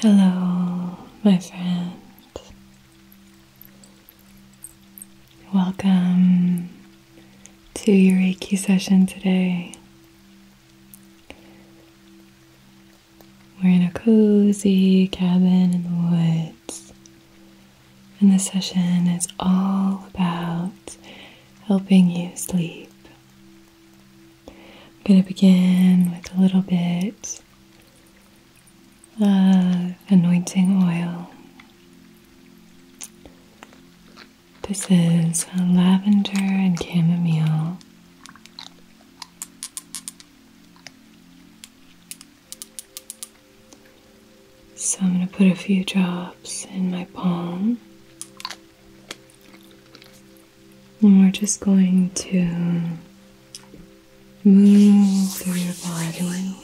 Hello, my friend. Welcome to your Reiki session today. We're in a cozy cabin in the woods. And this session is all about helping you sleep. I'm going to begin with a little bit of anointing oil. This is lavender and chamomile. So I'm going to put a few drops in my palm. And we're just going to move through your body.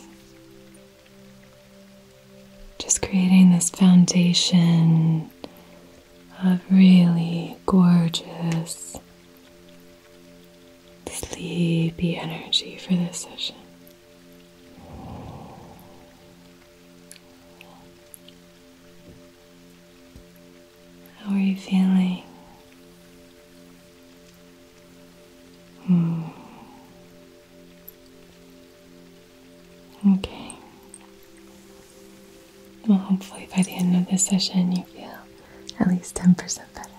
Just creating this foundation of really gorgeous sleepy energy for this session. How are you feeling? Hmm. Okay. Well, hopefully by the end of this session, you feel at least 10% better.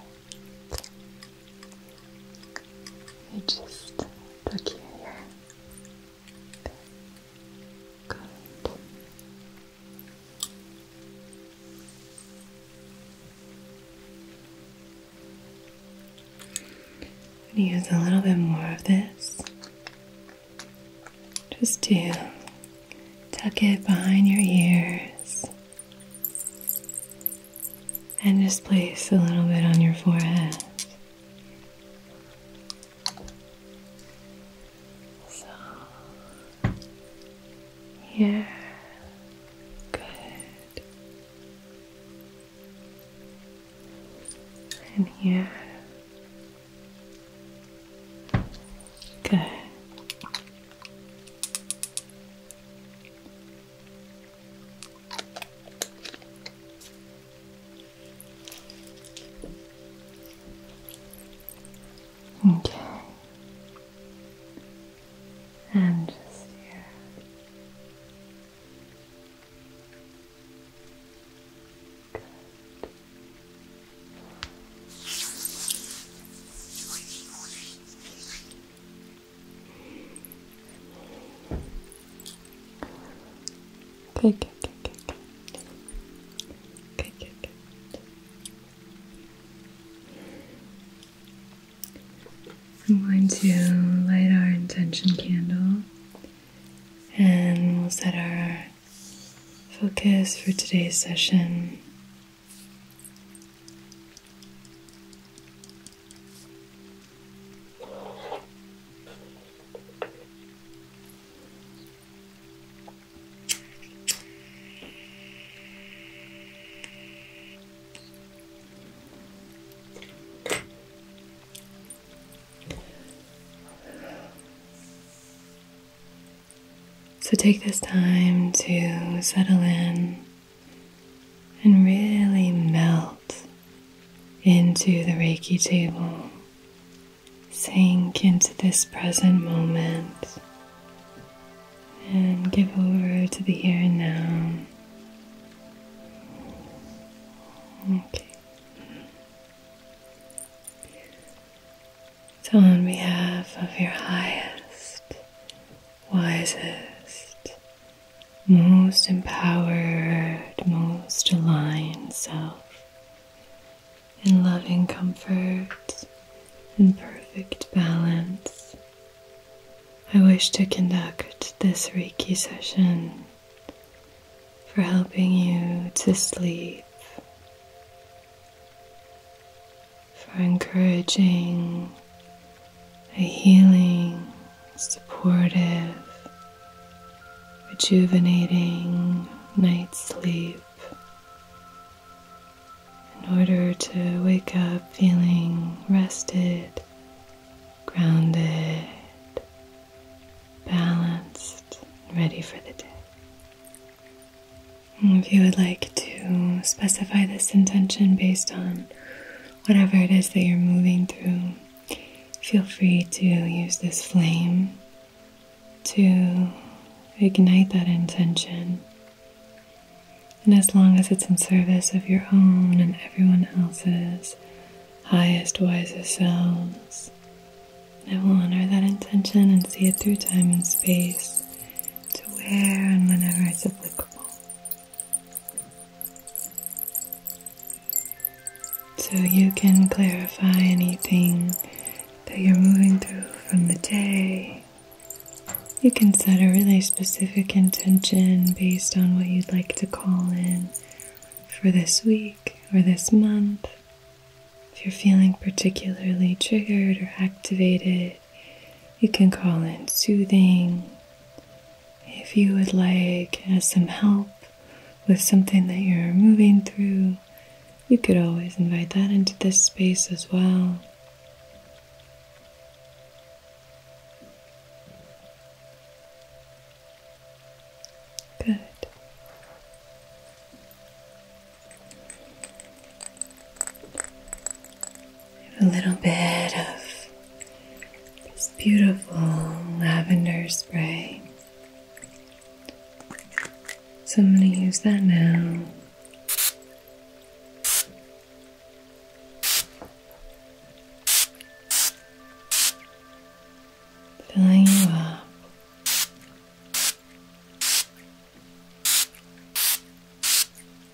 You just tuck your hair. Good. I'm going to use a little bit more of this just to tuck it behind your ears and just place a little bit on your forehead. So here, good, and here, good. Okay. And just here. Good, good, good, good, good. Good, I'm going to light our intention candle and we'll set our focus for today's session so take this time to settle in and really melt into the Reiki table. Sink into this present moment and give over to the here and now. Okay. So, on behalf of your highest wisest, most empowered, most aligned self in loving comfort in perfect balance. I wish to conduct this Reiki session for helping you to sleep, for encouraging a healing, supportive, rejuvenating night's sleep in order to wake up feeling rested, grounded, balanced, ready for the day. if you would like to specify this intention based on whatever it is that you're moving through, feel free to use this flame to ignite that intention. And as long as it's in service of your own and everyone else's highest, wisest selves, I will honor that intention and see it through time and space to where and whenever it's applicable. So you can clarify anything that you're moving through from the day. You can set a really specific intention based on what you'd like to call in for this week or this month. If you're feeling particularly triggered or activated, you can call it soothing. If you would like as uh, some help with something that you're moving through, you could always invite that into this space as well. Good a little bit of this beautiful lavender spray. So I'm going to use that now. Filling up.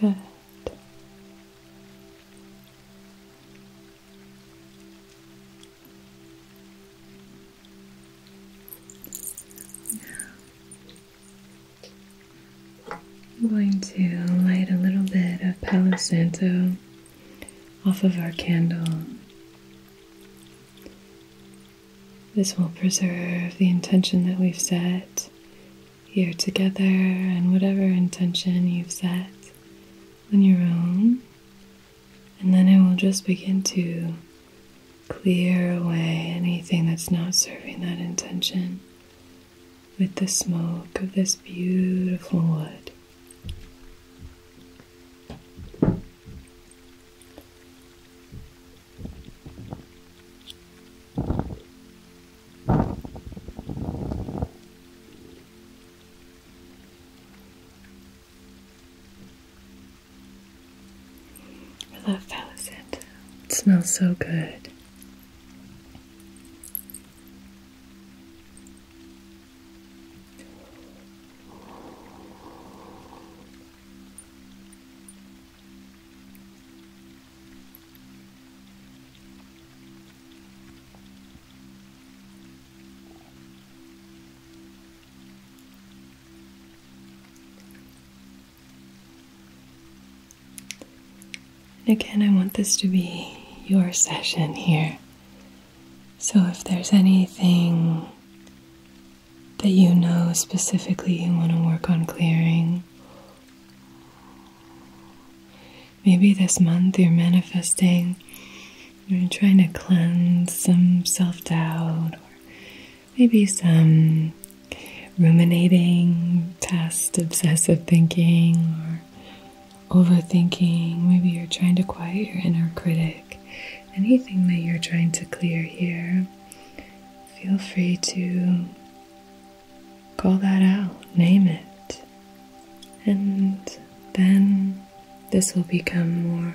Good. I'm going to light a little bit of Palo Santo off of our candle. This will preserve the intention that we've set here together and whatever intention you've set on your own. And then it will just begin to clear away anything that's not serving that intention with the smoke of this beautiful wood. I love palo It smells so good. And again, I want this to be your session here. So if there's anything that you know specifically you want to work on clearing. Maybe this month you're manifesting, you're trying to cleanse some self doubt, or maybe some ruminating, past obsessive thinking, or overthinking. Maybe you're trying to quiet your inner critic. Anything that you're trying to clear here feel free to call that out, name it, and then this will become more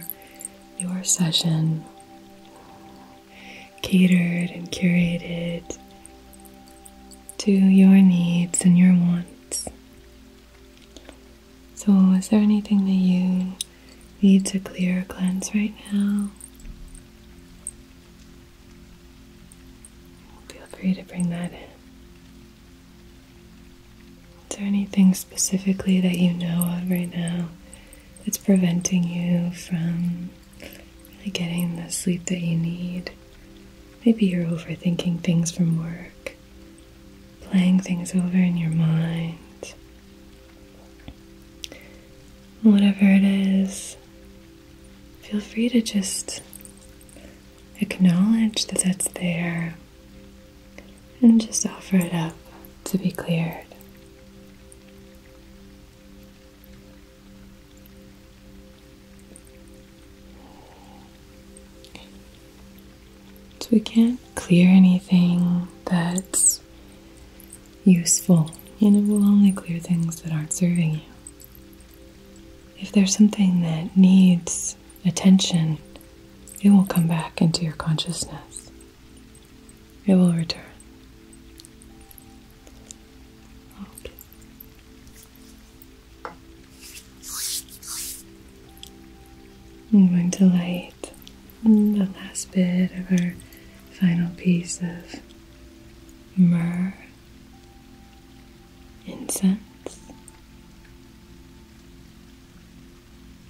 your session, catered and curated to your needs and your wants. So, is there anything that you needs a clear cleanse right now, feel free to bring that in. Is there anything specifically that you know of right now that's preventing you from really getting the sleep that you need? Maybe you're overthinking things from work, playing things over in your mind, Whatever it is, feel free to just acknowledge that it's there and just offer it up to be cleared. So we can't clear anything that's useful and it will only clear things that aren't serving you. If there's something that needs attention, it will come back into your consciousness. It will return. Okay. I'm going to light the last bit of our final piece of myrrh incense.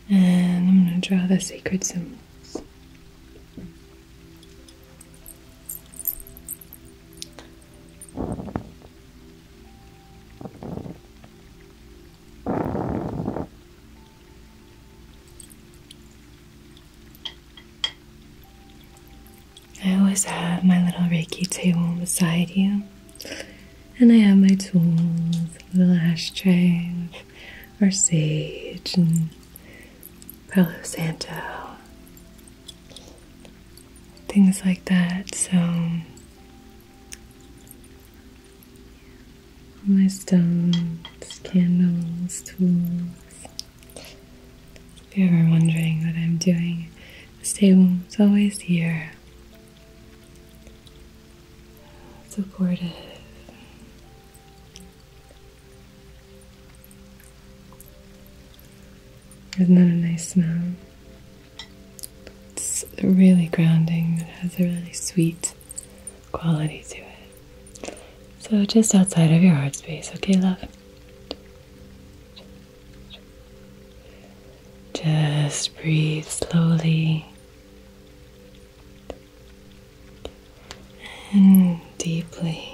And I'm going to draw the sacred symbols. I always have my little Reiki table beside you, and I have my tools, the little ashtray, our sage, and Palo Santo, things like that. So my stones, candles, tools. If you're ever wondering what I'm doing, this table is always here. Supportive. Isn't that a nice smell? It's really grounding. It has a really sweet quality to it. So just outside of your heart space, okay, love? Just breathe slowly and deeply.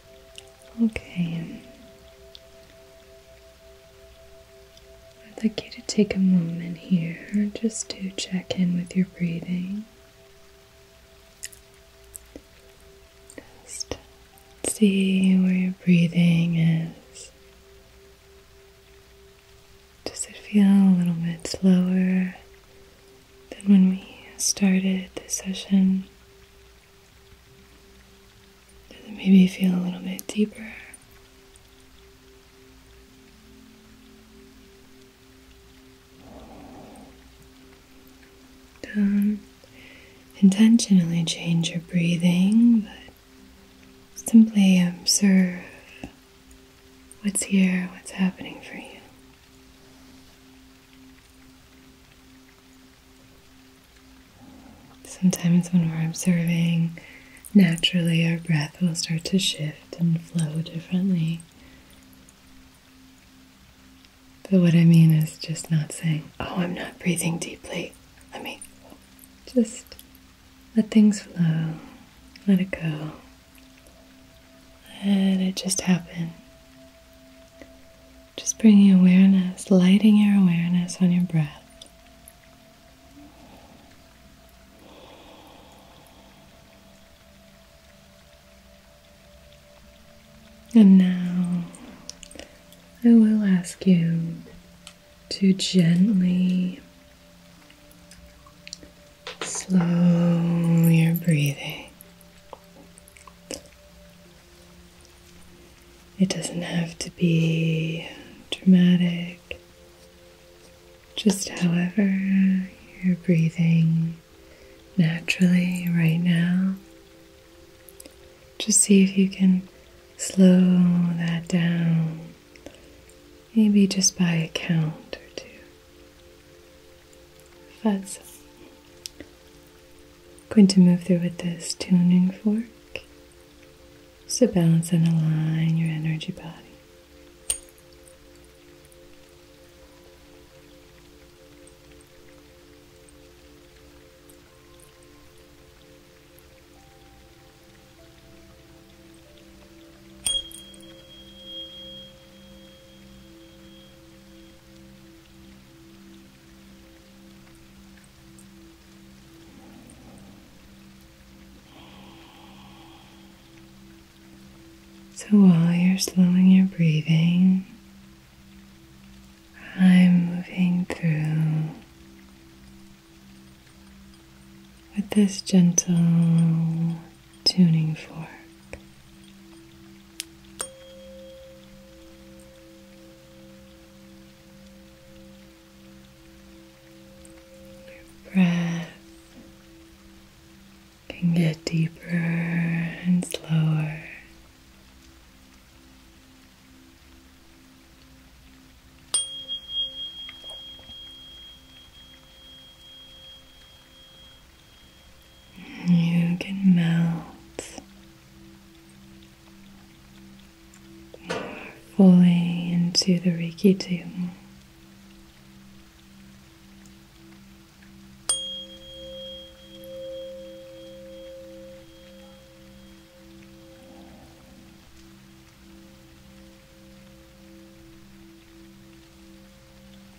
Okay. I'd like you to take a moment here just to check in with your breathing. Just see where your breathing is. Does it feel a little bit slower than when we started this session? Does it maybe feel a little bit deeper? Don't intentionally change your breathing, but simply observe what's here, what's happening for you. Sometimes, when we're observing, naturally our breath will start to shift and flow differently. But what I mean is just not saying, Oh, I'm not breathing deeply. Let me just let things flow, let it go, let it just happen. Just bringing awareness, lighting your awareness on your breath. And now I will ask you to gently slow your breathing. It doesn't have to be dramatic, just however you're breathing naturally right now. Just see if you can slow that down, maybe just by a count or two fuzz. I'm going to move through with this tuning fork just to balance and align your energy body. So while you're slowing your breathing, I'm moving through with this gentle tuning fork. Your breath can get deeper and slower. You can melt fully into the Reiki too.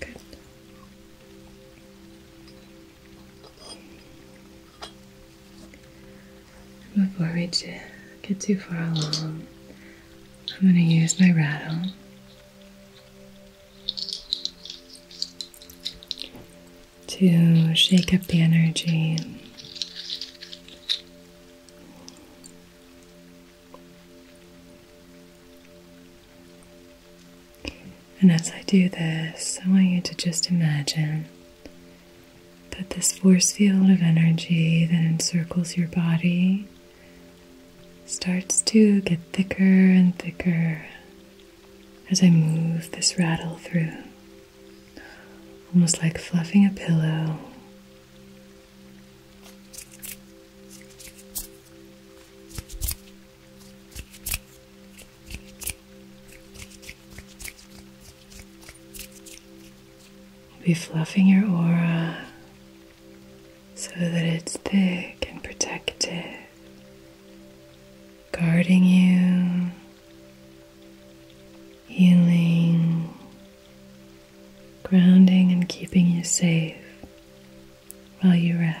Good. Before we get too far along, I'm going to use my rattle to shake up the energy. And as I do this, I want you to just imagine that this force field of energy that encircles your body starts to get thicker and thicker as I move this rattle through, almost like fluffing a pillow. Be fluffing your aura so that it's thick and protective, guarding you, healing, grounding, and keeping you safe while you rest.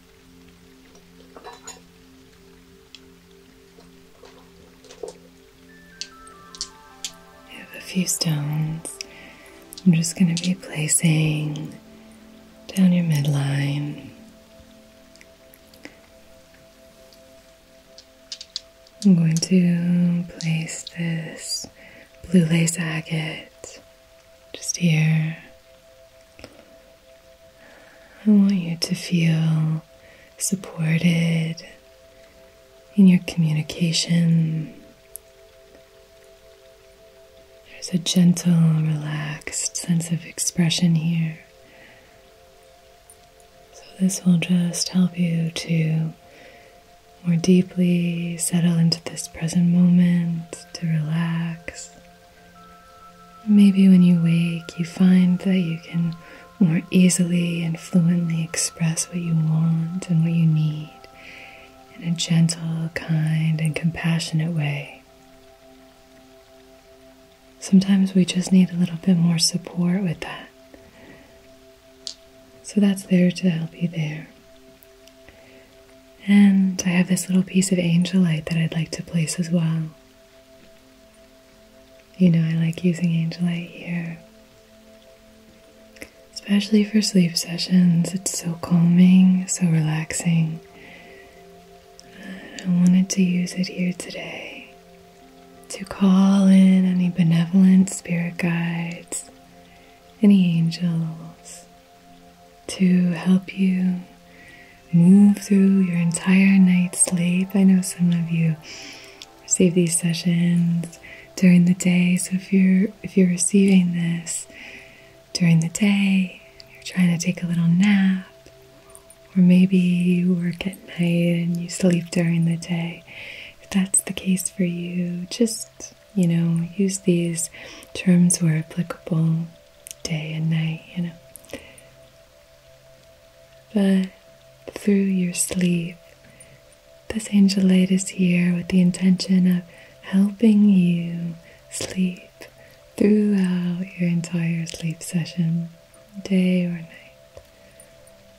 I have a few stones. I'm just going to be placing down your midline. I'm going to place this blue lace agate just here. I want you to feel supported in your communication. There's a gentle, relaxed sense of expression here. So, this will just help you to more deeply settle into this present moment, to relax. Maybe when you wake, you find that you can more easily and fluently express what you want and what you need in a gentle, kind, and compassionate way. Sometimes we just need a little bit more support with that. So that's there to help you there. And I have this little piece of angelite that I'd like to place as well. You know, I like using angelite here, especially for sleep sessions. It's so calming, so relaxing. I wanted to use it here today to call in any benevolent spirit guides, any angels, to help you move through your entire night's sleep. I know some of you receive these sessions during the day, so if you're if you're receiving this during the day, you're trying to take a little nap, or maybe you work at night and you sleep during the day. If that's the case for you, just you know, use these terms where applicable day and night, you know. But through your sleep, this angelate is here with the intention of helping you sleep throughout your entire sleep session, day or night.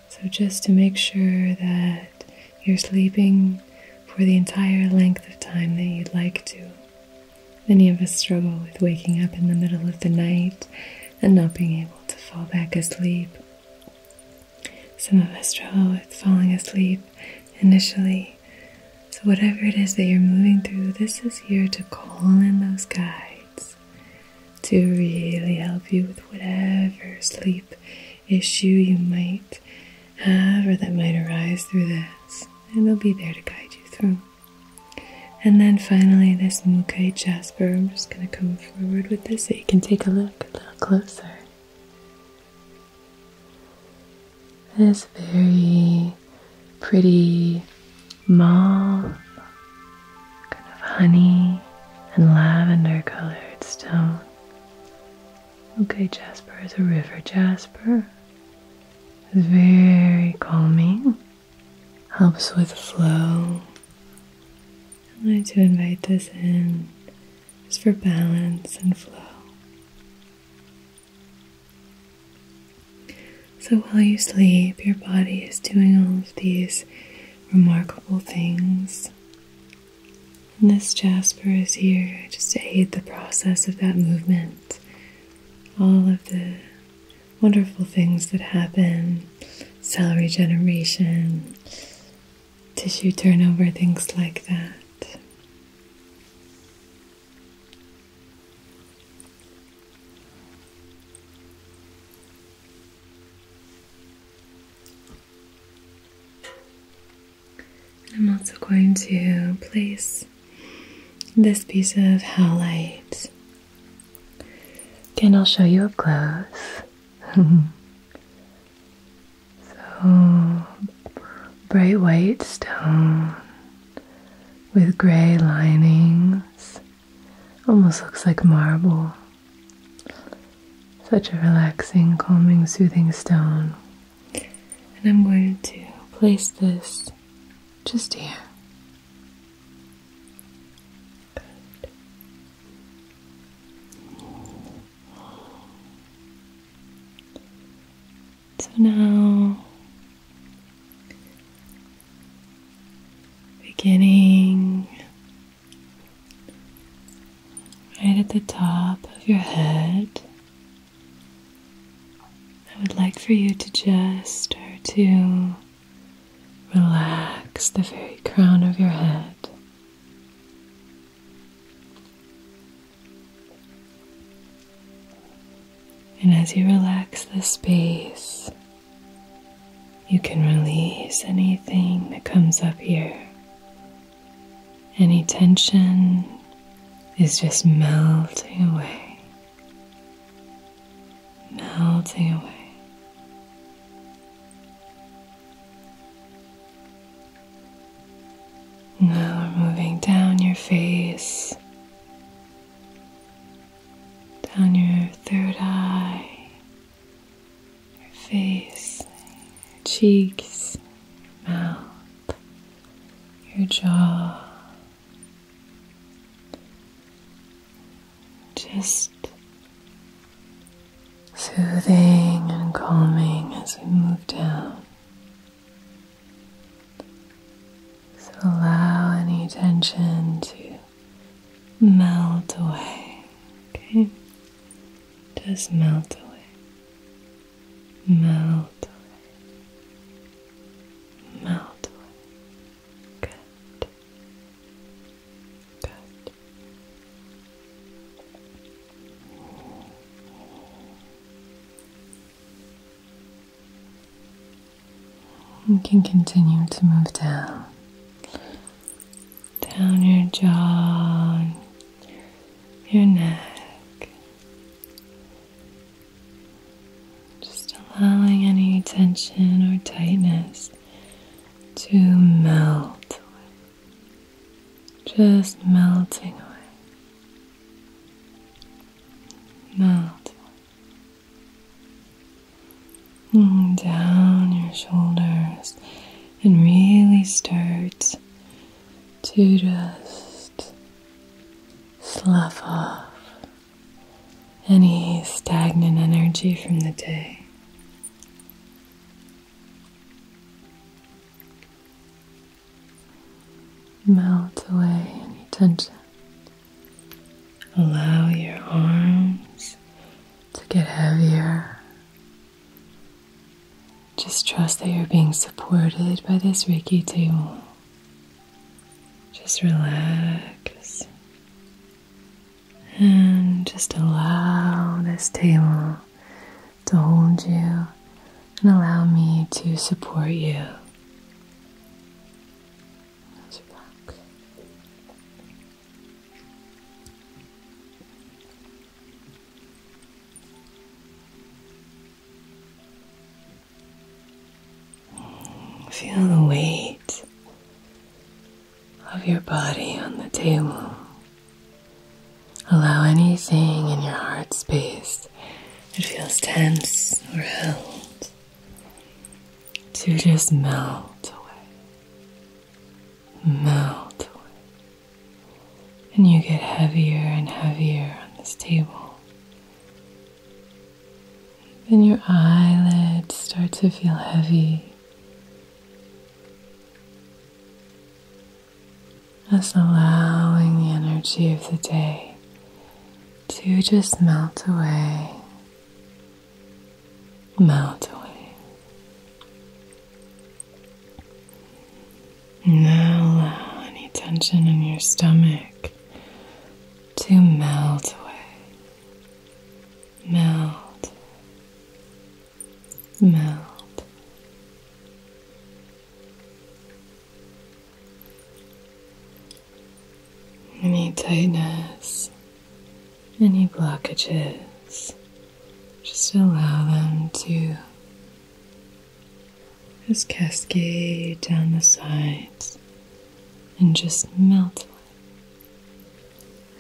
So, just to make sure that you're sleeping for the entire length of time that you'd like to, Many of us struggle with waking up in the middle of the night and not being able to fall back asleep. Some of us struggle with falling asleep initially. So, whatever it is that you're moving through, this is here to call in those guides to really help you with whatever sleep issue you might have or that might arise through this and they'll be there to guide you through. And then finally, this Mukai Jasper, I'm just going to come forward with this so you can take a look a little closer. This very pretty mauve, kind of honey and lavender colored stone. Okay, Jasper is a river jasper. It's very calming, helps with flow. I like to invite this in just for balance and flow. So while you sleep, your body is doing all of these remarkable things. And this jasper is here just to aid the process of that movement all of the wonderful things that happen cell regeneration, tissue turnover, things like that. I'm also going to place this piece of howlite. Again, I'll show you up close. so, bright white stone with gray linings. Almost looks like marble. Such a relaxing, calming, soothing stone. And I'm going to place this just here. So now, beginning right at the top of your head, I would like for you to just start to relax the very crown of your head. And as you relax the space, you can release anything that comes up here. Any tension is just melting away, melting away. Now we're moving down your face, down your third eye, your face, your cheeks, mouth your jaw. Just soothing and calming as we move down. So allow any tension to melt away. Okay? Just melt away melt away, melt Good, good. You can continue to move down, down your jaw, your neck, just allowing any tension or tightness to melt Just melting away. Melt. And mm, down your shoulders and really start to just slough off any stagnant energy from the day. Melt away any tension. Allow your arms to get heavier just trust that you're being supported by this Reiki table. Just relax and just allow this table to hold you and allow me to support you. Feel the weight of your body on the table. Allow anything in your heart space that feels tense or held to just melt away. Melt away. And you get heavier and heavier on this table. Even your eyelids start to feel heavy. Just allowing the energy of the day to just melt away, melt away. Now allow any tension in your stomach to melt away. Melt. Melt. Any tightness, any blockages, just allow them to just cascade down the sides and just melt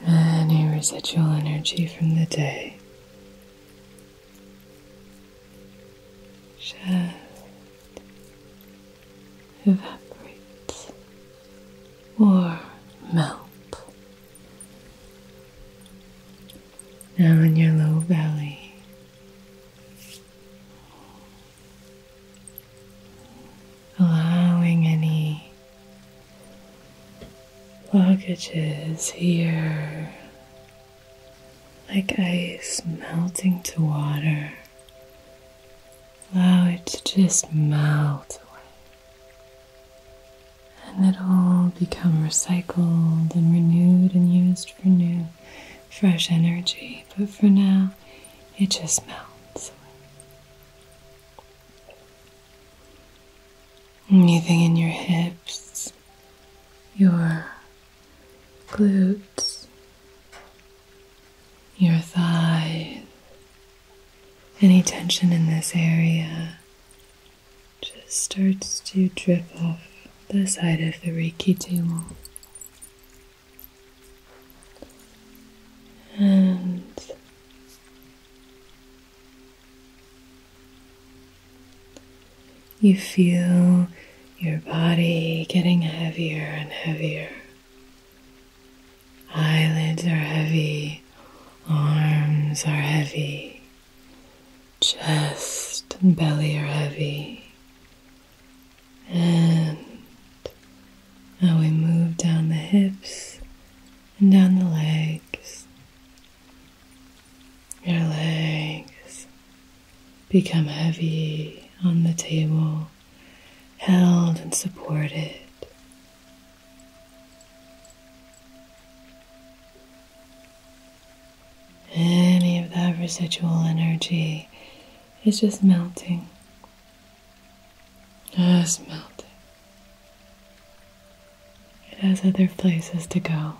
any residual energy from the day. Just evaporates or melt. Now in your low belly, allowing any luggages here like ice melting to water. Allow it to just melt away. And it'll become recycled and renewed and used for new fresh energy, but for now it just melts away. Anything in your hips, your glutes, your thighs, any tension in this area just starts to drip off the side of the Reiki table. And you feel your body getting heavier and heavier. Eyelids are heavy, arms are heavy, chest and belly are heavy. And now we move down the hips and down the legs. Your legs become heavy on the table, held and supported. Any of that residual energy is just melting. Just melting. It has other places to go.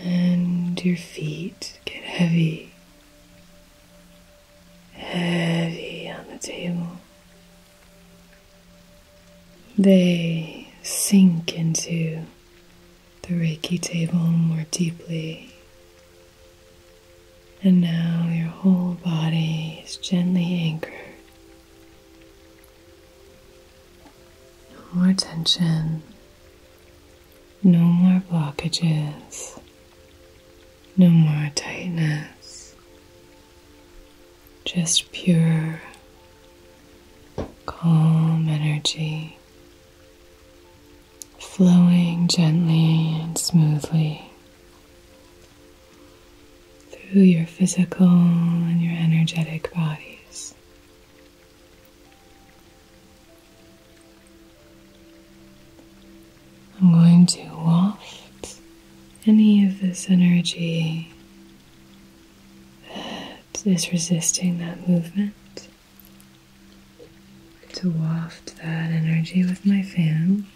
And your feet get heavy, heavy on the table. They sink into the Reiki table more deeply. And now your whole body is gently anchored. No more tension, no more blockages, no more tightness, just pure, calm energy flowing gently and smoothly through your physical and your energetic bodies. I'm going to waft any of this energy that is resisting that movement. To waft that energy with my fan.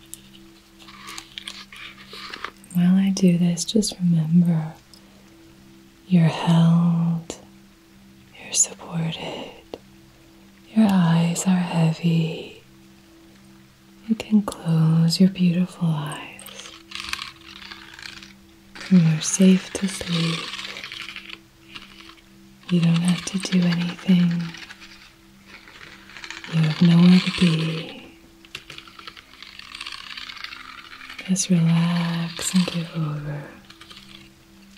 While I do this, just remember you're held, you're supported, your eyes are heavy. You can close your beautiful eyes. You are safe to sleep. You don't have to do anything. You have nowhere to be. Just relax and give over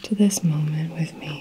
to this moment with me.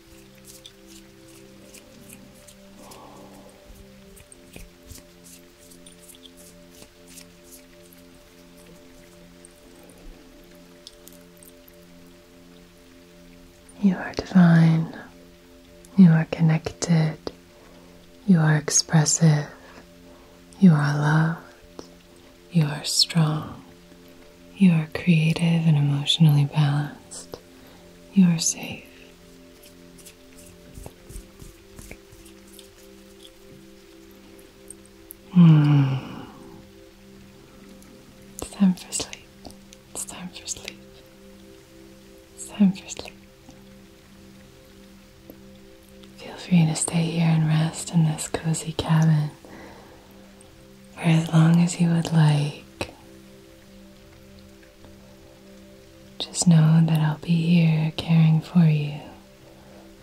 You are divine. You are connected. You are expressive. You are loved. You are strong. You are creative and emotionally balanced. You are safe. Hmm. It's time for sleep. It's time for sleep. It's time for sleep. Feel free to stay here and rest in this cozy cabin for as long as you would like. Just know that I'll be here caring for you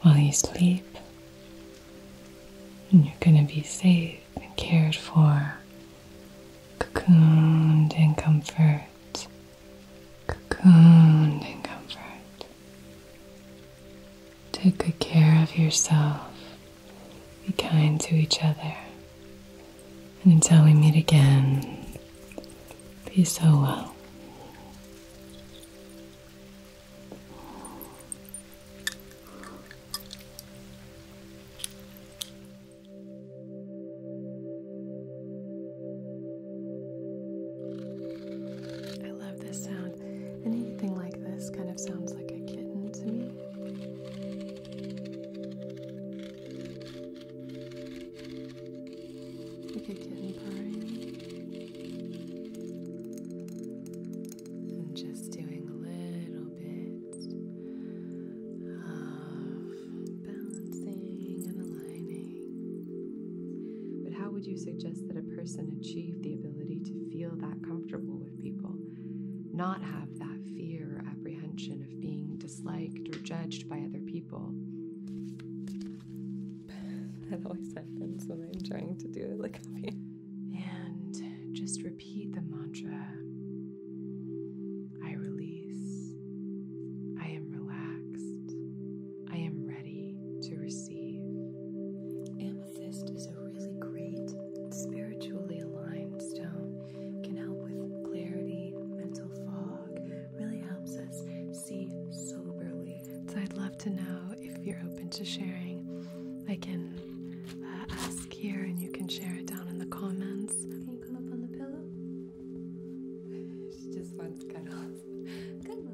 while you sleep, and you're going to be safe and cared for, cocooned in comfort, cocooned in comfort. Take good care of yourself. Be kind to each other. And until we meet again, be so well. I love this sound. Anything like this kind of sounds like a kitten to me. Like a kitten purring. I'm just doing a little bit of balancing and aligning. But how would you suggest that a person achieve the ability to feel that comfortable with people? Not have that fear or apprehension of being disliked or judged by other people. That always happens when I'm trying to do it like And just repeat the mantra I release. I am relaxed. I am ready to receive. Amethyst is a really great spiritually aligned stone can help with clarity, mental fog, really helps us see soberly. So I'd love to know if you're open to sharing. I can uh, ask here and you can share it down in the comments. Can you come up on the pillow? she just wants cuddles. Good one.